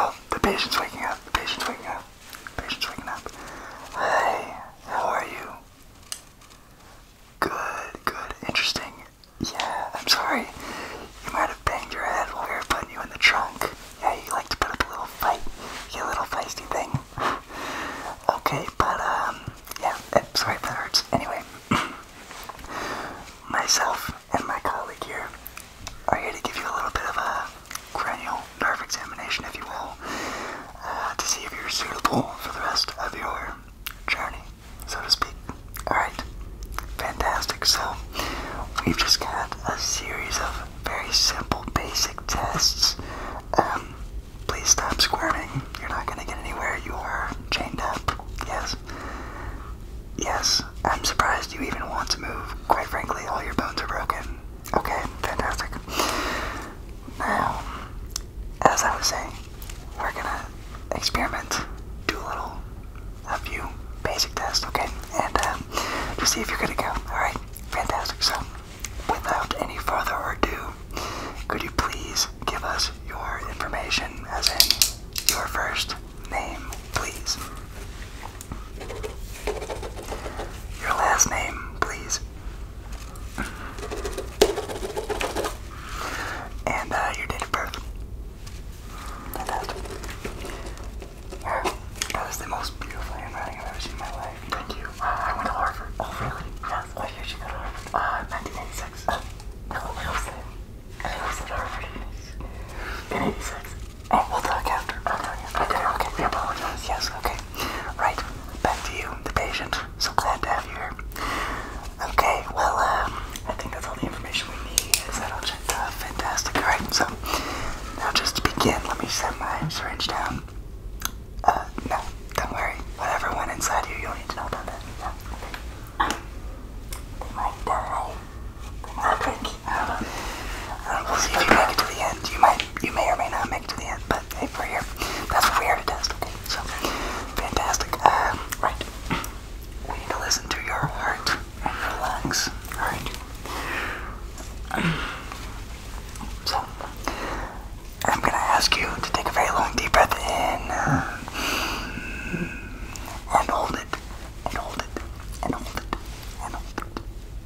Oh, the patient's waking up, the patient's waking up, the patient's waking up. Hey, how are you? Good, good. Interesting. Yeah, I'm sorry. You might have banged your head while we were putting you in the trunk. Yeah, you like to put up a little fight. You little feisty thing. okay, but, um, yeah, I'm eh, sorry if that hurts. Anyway, myself and my colleague here are here to give you a little bit of a cranial nerve examination, if you will, uh, to see if you're suitable for the rest of your journey, so to speak. Alright, fantastic. So, we've just got a series of very simple, basic tests. Um, please stop squirming. You're not going to get anywhere. You are chained up. Yes. Yes, I'm surprised you even want to move. Quite frankly, all your bones are broken. Okay, fantastic. Now, as I was saying, we're gonna experiment, do a little, a few basic tests, okay? And uh, to see if you're going to go. Alright, fantastic. So, without any further ado, could you please give us your information, as in your first name, please? Your last name, please. And uh, your date of birth. Fantastic. That is the most beautiful thing I've ever seen in my life. Thank you. Uh, I went to Harvard. Oh, really? Yes, I hear go to Harvard. Uh, 1986. Oh, no, I was at, I was at Harvard in 86. Oh, we'll talk after. I'll tell you. Okay, okay, we apologize. Yes, okay. Right, back to you, the patient. So glad to have you here. Okay, well, um, I think that's all the information we need. Is that all checked out? Fantastic. Alright, so now just to begin, let me set my syringe down. Uh, no, don't worry. Whatever went inside you, you don't need to know about that. They might die. They might break. I We'll see you make to the end. You might you may or may not make it to the end, but hey, we're here. That's what we're here to test, okay? So, fantastic. Uh, right. We need to listen to your heart and your lungs. Alright. So, I'm gonna ask you to take a very long deep breath in uh, and hold it, and hold it, and hold it, and hold it, and hold it,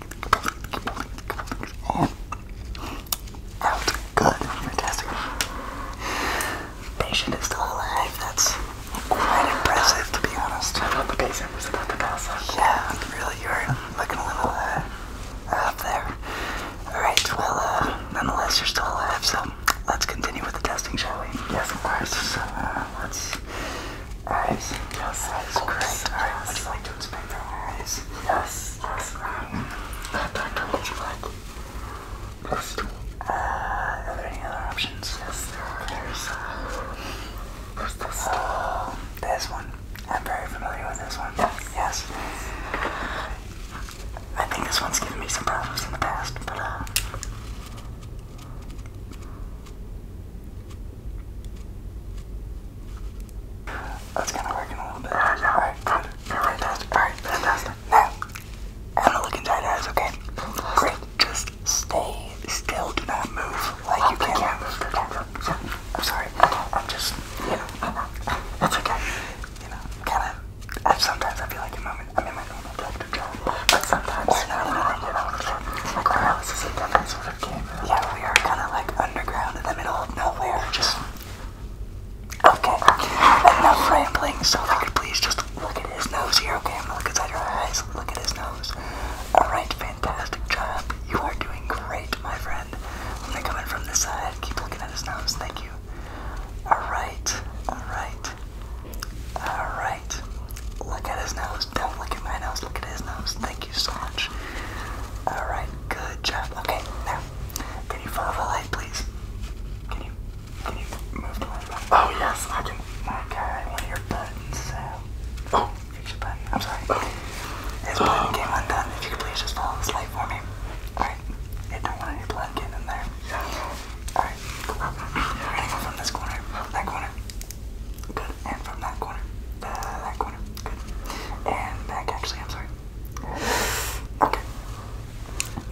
And good, Patient is still alive. That's quite impressive, to be honest. I thought the patient was about to pass out. Yeah, really, you looking a little uh, up there. All right, well, uh, nonetheless, you're still alive, so let's continue with the testing, shall we? Yes, of course. So, uh, let's Eyes. Yes, eyes. Great. Eyes. What do you like to explain your eyes? Yes. Yes. Um, uh, doctor, what would you like? Yes. Uh, are there any other options? Yes, there are. There's, uh, there's this. Uh, this one. I'm very familiar with this one. Yes. Yes. I think this one's given me some problems in the past, but, uh, that's kind of working a little bit. Uh, yeah. All right, good. Fantastic. All right, fantastic. Now, I'm gonna not looking tight eyes, okay? Great. Just stay still. Do not move like you can't can. move. They can't move. I'm sorry. I'm just, you know, it's okay. You know, kind of, I, sometimes I feel like a moment. I'm in my normal doctor job, but sometimes I'm not in my normal job. My paralysis is Okay. Yeah, we are kind of like underground in the middle of nowhere. Just okay. Enough rambling. So, if you could please just look at his nose here, okay? I'm gonna look inside your eyes. Look at his nose. All right, fantastic job. You are doing great, my friend. I'm gonna come in from this side. Keep looking at his nose. Thank you. All right. All right. All right. Look at his nose. Don't look at my nose. Look at his nose. Thank you so much. Alright, good job. Okay, now, can you follow the light, please? Can you, can you move Oh, yes, I can. Okay, one of your buttons, Oh. Fix your button. I'm sorry. Oh. His button oh. If you could please just follow this light for me. Alright. don't want any blood getting in there. Alright, cool. from this corner, that corner, Good. And from that corner. that corner. Good. And back, actually, I'm sorry. Okay.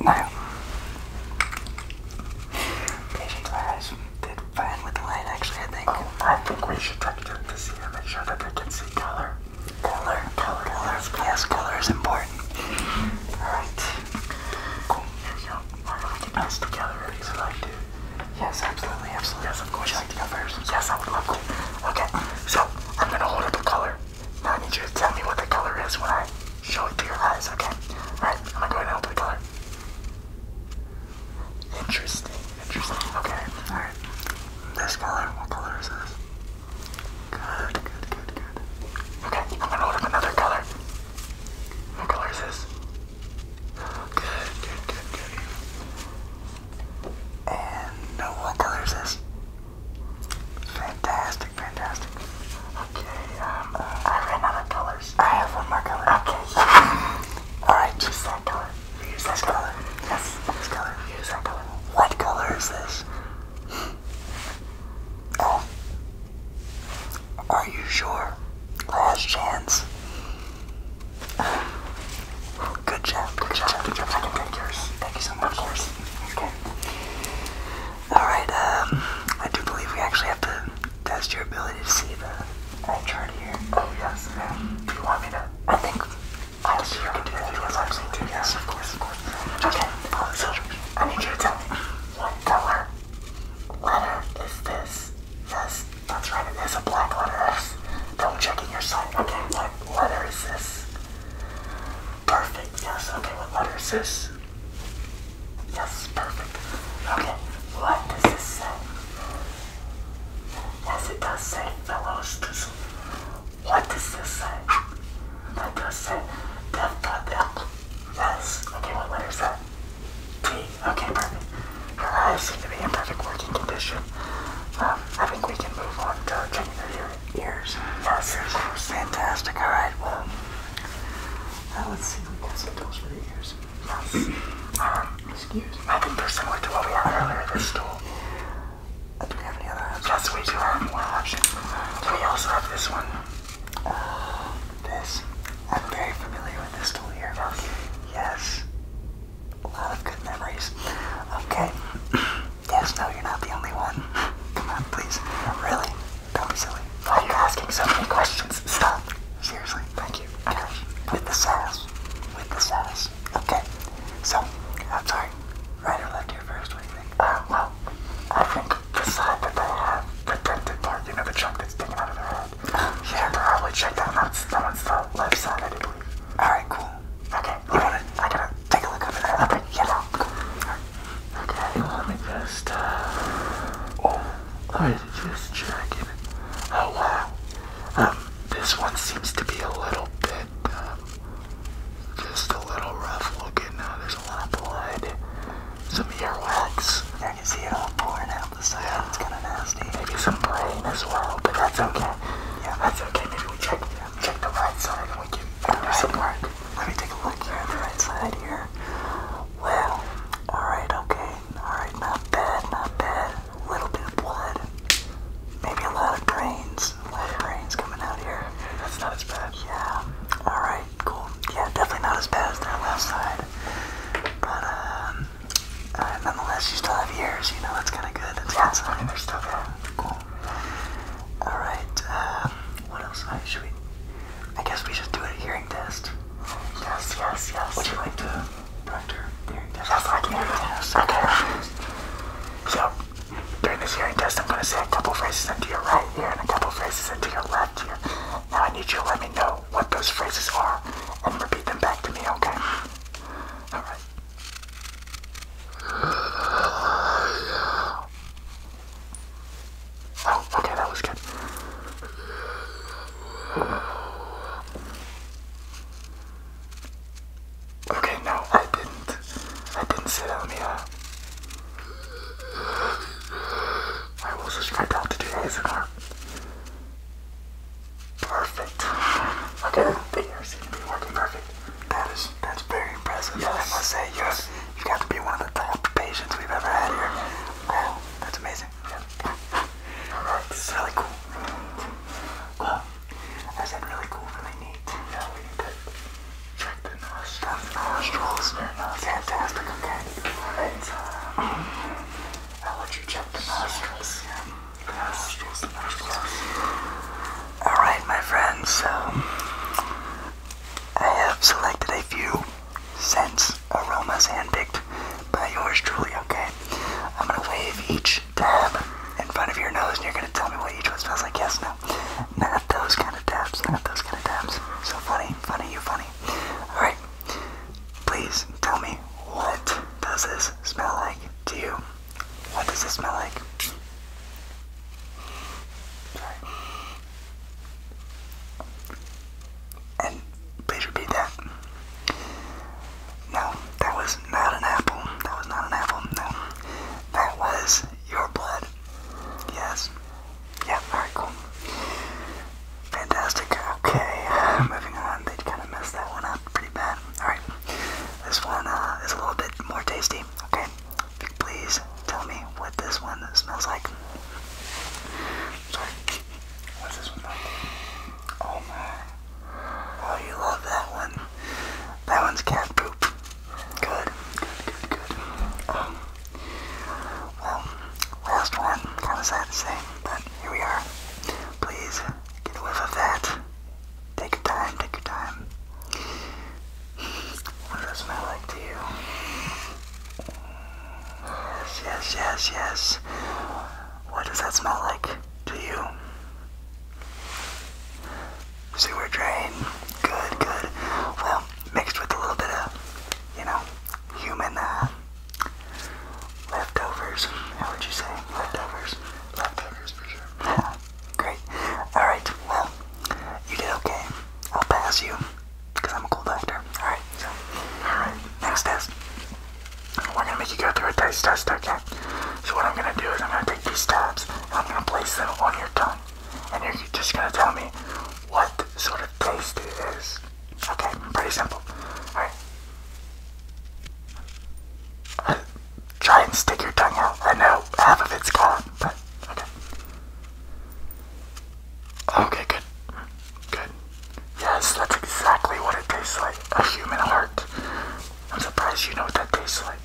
Now, patient eyes did fine with the actually, I think. Oh, I think we should try to do this here, make sure that they can see color. Color, color, color. Yes, color is important. Alright. Cool. Here we go. We're going to get this together, so I do. Yes, absolutely, absolutely. Yes, of course. Would like to go first? Yes, I would love to. Okay, so I'm gonna hold up a color. Now I need you to tell me what the color is when I show it to your eyes, okay? Alright, I'm gonna go ahead and open the color. Interesting, interesting. Okay, alright. This color, what color is this? Good, good, good, good. Okay, I'm gonna hold up another color. What color is this? good, good, good. And what color is this? Fantastic, fantastic. Okay, um, uh, I ran out of colors. I have one more color. Okay. Alright, use that color. Use that color. Yes, this color. Use that color. What color is this? Oh. Are you sure? Last chance. Good job. Good job. Good job. Thank you so much. Of course. Okay. Alright, um, I do believe we actually have to test your ability to see the eye chart here. Oh, yes. Do you want me to? I think I'll see you can do that. Yes, absolutely. Yes, of course, of course. Okay, so I need you to tell me what color letter is this? Yes. That's right. it is, a black letterless. check in your site. Okay, what letter is this? Perfect, yes, okay, what letter is this? Yes, perfect. Okay, what does this say? Yes, it does say fellow students. What does this say? That does say dev.l. Yes, okay, what letter is that? Okay, perfect. Your eyes seem to be in perfect working condition. Um, I think we can move on to checking your ears. Yes, of course. Fantastic. All right. Well, uh, let's see. We got some tools for the ears. Yes. Um, excuse me. I think they're similar to what we had earlier. This tool. Uh, do we have any other Yes, we do have more options. Do we also have this one? Uh, this. I'm very familiar with this tool here. Yes. A lot of good memories. Okay. yes, no, you're not the only one. Come on, please. Really? Don't be silly. Why are you asking so many questions? Stop. Seriously. Thank you. With the sass. With the sass. Okay. So, I'm sorry. Right or left here first, what do you think? Uh, well, I think the side that they have, the tented part, you know, the chunk that's sticking out of their head. Uh, uh-huh. yeah, probably check that. out. that one's the left side, Alright, cool. Okay, you want it? I gotta take a look over there. Okay, yeah. Cool. Right. Okay, let me just, uh, oh, I me just check it. Oh, wow. Um, this one seems to be a little bit, um, just a little rough looking. Now there's a lot of blood, some earwax. Yeah, I can see it all pouring out the side. It's kind of nasty. Thursday. Maybe some rain as well, but that's okay. Yeah, that's okay. Maybe we check check the right side we can do some work. Let me take a look here the right side here. Well, alright, okay. Alright, not bad, not bad. A little bit of blood. Maybe a lot of brains. A brains coming out here. that's not as bad. Yeah. Alright, cool. Yeah, definitely not as bad as that left side. But um uh, nonetheless, you still have years, you know, that's kind of good. That's yeah, good sign. They're still there. Cool. Alright, uh, what else? Uh, should we? I guess we should do a hearing test. Yes, yes, yes. Would you like to proctor hearing test? Yes, I can hear test. Okay. So, during this hearing test, I'm going to say a couple phrases into your right ear and a couple phrases into your left ear. Now, I need you to let me know what those phrases are and repeat them back to me, okay? Alright. Oh, okay, that was good. Okay, no, I didn't. I didn't say that. Let me, uh. I will subscribe to do ASMR. Perfect. Okay, the video's to be working perfect. That is that's very impressive. Yes. I must say, you have, you've got to be one of the top patients we've ever had here. that's amazing. Alright, really cool. I said really cool, really neat. need to check the nostrils. nostrils. Fantastic, okay. Alright. I'll let you check the nostrils. Alright, my friends, I have selected a few scents, aromas handpicked by yours truly, okay? I'm gonna wave each tab in front of your nose and you're gonna tell me what each one smells like. Yes, no. Not those kind of tabs, not those kind of tabs. So funny, funny, you funny. Alright, please tell me what does this smell like to you? What does this smell like? Sorry. And please repeat that. No, that was not an apple. That was not an apple. No. That was your blood. Yes. Yeah, alright, cool. Fantastic. Okay, moving on. They kind of messed that one up pretty bad alright. This one uh, is a little bit more tasty, okay? Please tell me what this one smells like. Sorry. What's this one Oh my. Oh, you love that one. That one's cat poop. Good. Good, good, good. Um, well, last one. Kind of sad to say, but here we are. Please get a whiff of that. Take your time, take your time. What does that smell like to you? Yes, yes, yes, yes. What does that smell like to you? Sewer drain. Good, good. Well, mixed with a little bit of, you know, human uh, leftovers. How would you say? Leftovers. Leftovers for sure. Great. Alright, well, you did okay. I'll pass you, because I'm a cool doctor. Alright, so. Alright, next test. We're gonna make you go through a taste test, okay? So what I'm gonna do is I'm gonna take these tabs and I'm gonna place them on your tongue. And you're just gonna tell me what sort of taste it is. Okay, pretty simple. Alright. Uh, try and stick your tongue out. I know half of it's gone, but okay. Okay, good. Good. Yes, that's exactly what it tastes like. A human heart. I'm surprised you know what that tastes like.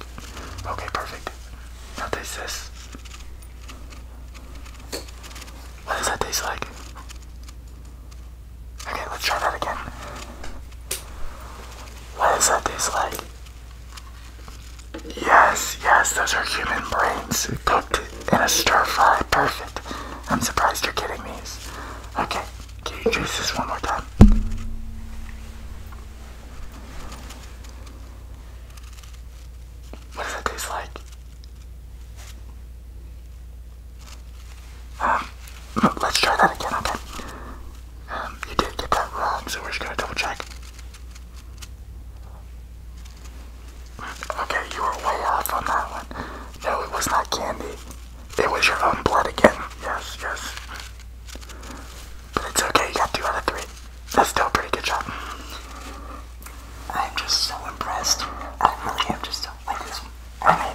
Okay, perfect. Now taste this. What does that taste like? Okay, let's try that again. What does that taste like? Yes, yes, those are human brains cooked in a stir fry. Perfect. I'm surprised you're getting these. Okay, can you taste this one more time? What does that taste like? Um, let's try that again, okay? Um, you did get that wrong, so we're just gonna double check. Okay, you were way off on that one. No, it was not candy. It was your own blood again. Yes, yes. But it's okay, you got two out of three. That's still a pretty good job. I'm just so impressed. I really am just so like this.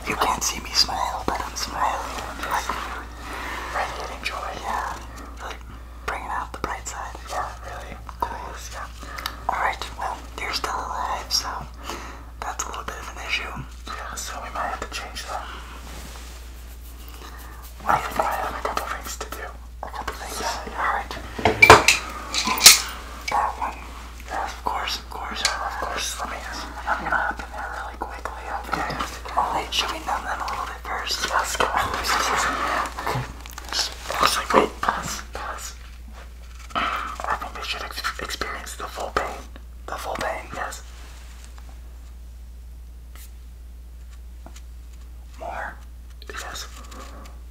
you can't see me smile, but I'm smiling. Radiating joy, Yeah, really bringing out the bright side. Yeah, really. Cool. Nice, yeah. Alright, well, you're still alive, so that's a little bit of an issue. Yeah, so we might have to change that. I think I a couple things to do. A couple things? Yeah, alright. That one. Yes, of course, of course. Of course, let me, I'm going that really quickly. Okay. Alright, should we numb them a little bit first? go. Okay. Pass, wait, pass, pass. I think they should experience the full pain. The full pain, yes. More. Yes.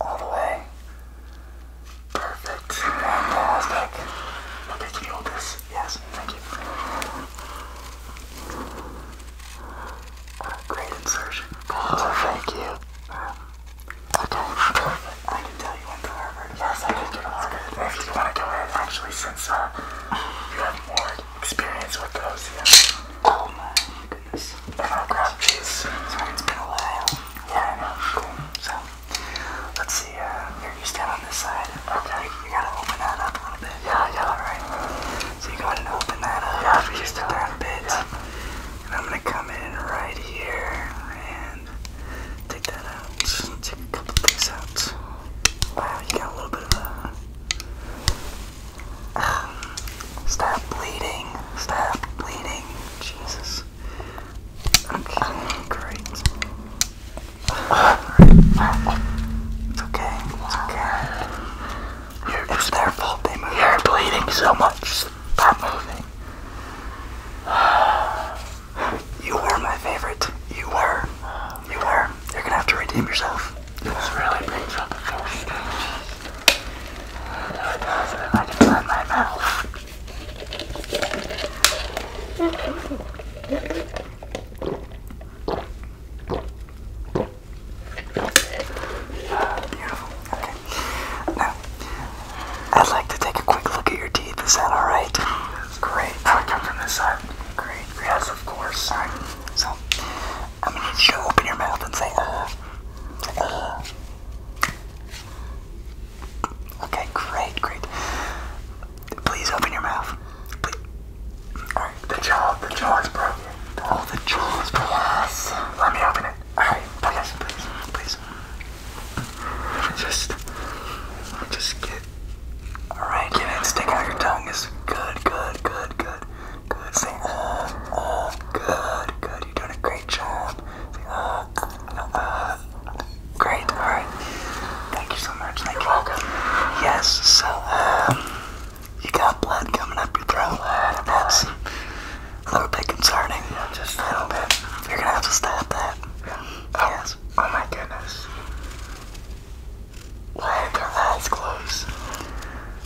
All the way. Perfect. Fantastic. Okay, can you this? Yes, thank you. Uh, great insertion. Great oh, insertion. thank you. Um, okay, perfect. I can tell you went to Harvard. Yes, I did go to Harvard. If you want to go in, actually, since uh, you have more experience with those, yeah. Oh my goodness. And I'll grab these. Sorry, it's been a while. Yeah, I know. Cool. So, let's see. Uh, you stand on this side. Okay. You, gotta open that up a little bit. Yeah, yeah. Alright. So you go ahead and open that up. Yeah, just a a bit. And I'm gonna come in right here and take that out. Take a couple things out. Wow, you got a little bit of a. Um, stop bleeding. Stop bleeding. Jesus. Okay, great. It's okay. It's okay. You're, it's their fault they You're bleeding so much. Stop moving. You were my favorite. You were. You were. You're gonna have to redeem yourself. This really brings up the first I just my mouth. Beautiful. Okay. Now, I'd like to take a quick look at your teeth. Is that all right? That's great. I'll come from this side. Great. Yes, of course. So, I'm gonna need you to open your mouth and say, uh, say, uh. Okay, great, great. Please open your mouth. Please. Alright, the jaw, the jaw's broken. Oh, the jaw's broken. Let me open it. Alright, please, please, please. Just, just get. Alright, get it. Stick out your tongue. Is good, good, good, good, good. Uh, uh, good, good. You're doing a great job. Uh, great. Alright. Thank you so much. Thank You're you. welcome. Yes, so um, you got blood coming up your throat. Blood, That's blood. a little bit concerning. Yeah, just a little bit. You're gonna have to stop that. Yeah. Oh, yes. Oh my goodness. Why are their eyes closed?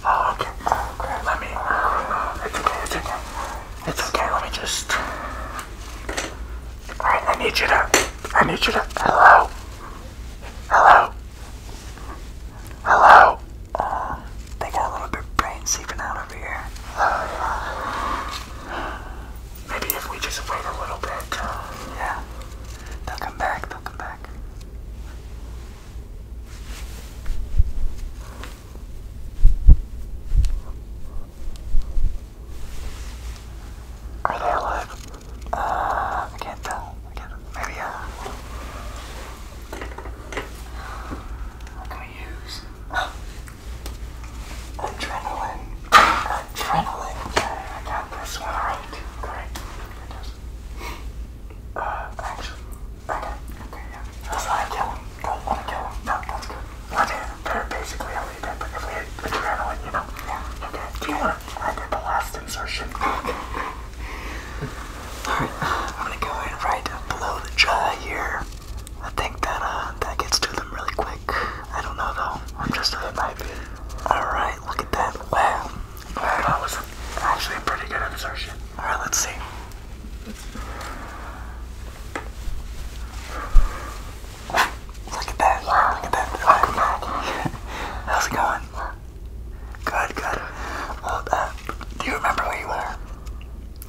Oh, okay. Oh, crap. Let me. Uh, it's okay. It's okay. It's okay. Let me just. All right. I need you to. I need you to. Hello. Hello. Hello. Uh, they got a little bit of brain seeping out over here. maybe if we just wait a little bit. Uh, yeah. They'll come back. They'll come back. Are they alive? Uh, I can't tell. I can't. Maybe uh. What can we use? Adrenaline. Adrenaline. Okay, I got this one right. Great. Uh, actually, okay, okay, yeah. Let's not kill him. Don't want to kill him. No, that's good. Well, basically how we did, but if we had adrenaline, you know. Yeah. Okay. Do you want to I did the last insertion. Alright, uh, I'm gonna go in right below the jaw here. I think that uh, that gets to them really quick. I don't know though. I'm just a uh, might be. Alright, look at that. Wow. Wow, that was actually a pretty good insertion. Alright, let's see. Look at that. Look at that. How's it going? Good, good. Well, uh, do you remember where you were?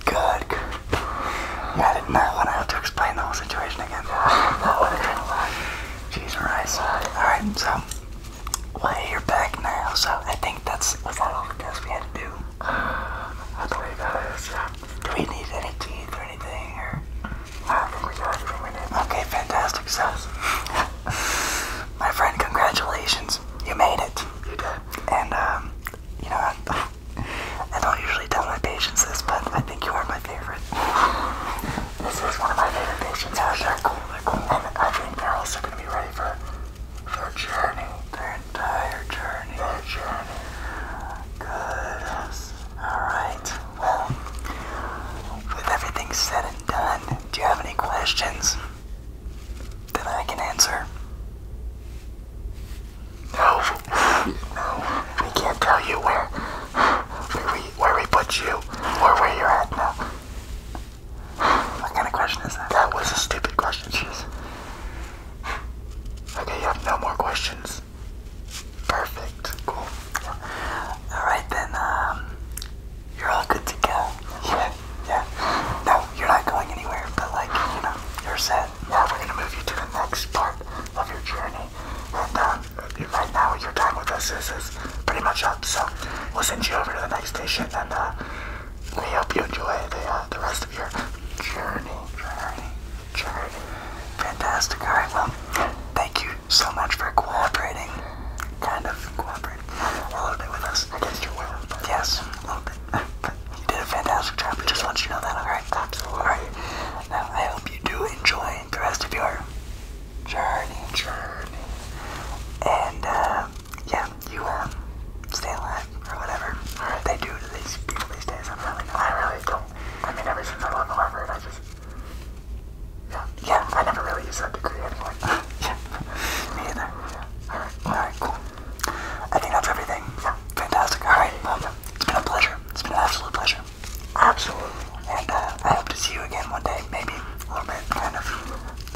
Good, good. I did not know when I have to explain the whole situation again. That would have been a lot. Jeez, Rice. Alright, so, well, you're back now, so I think that's, was that all the tests we had to do? I believe that is, Do we need any teeth or anything, Wow, we got it from within. Okay, fantastic sus. My friend, congratulations. You made it. You did. And um, you know, I, I don't usually tell my patients this, but I think you are my favorite. this is one of my favorite patients out there. Cool, they're cool. And I think they're also gonna be ready for their journey. Their entire journey. Their journey. Good. Alright. Well, with everything said and done, do you have any questions that I can answer? No, no, we can't tell you where where we where we put you or where you're at now. What kind of question is that? That was a stupid question. Jeez. Okay, you have no more questions. Perfect. Cool. All right then. Um, you're all good to go. Yeah, yeah. No, you're not going anywhere, but like, you know, you're set. Yeah, we're gonna move you to the next part of your journey. And um, right now, your time with us is, is pretty much up, so we'll send you over to the next station, and uh, we hope you enjoy the, uh, the rest of your journey, journey, journey. Fantastic. All right, well, thank you so much for cooperating kind of cooperate a little bit with us. Against your will. But yes, a little bit. you did a fantastic job. just want you to know that, alright? Absolutely. Alright. Now, I hope you do enjoy the rest of your journey. Journey. And, uh, yeah, you, um, stay alive or whatever. Alright. They do to these people these days. I'm really I really don't. I mean, ever since I left Harvard, I just. Yeah, yeah, I never really used that degree anymore. yeah, me either. Alright, cool. I think that's everything. Yeah, fantastic. Alright, well, it's been a pleasure. It's been an absolute pleasure. Absolutely. And uh, I hope to see you again one day, maybe a little bit, kind of.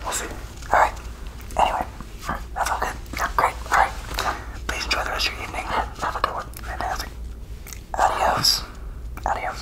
We'll see. Alright, anyway, that's all good. Yeah, great. Alright, please enjoy the rest of your evening. Have a good one. Fantastic. Adios. Adios.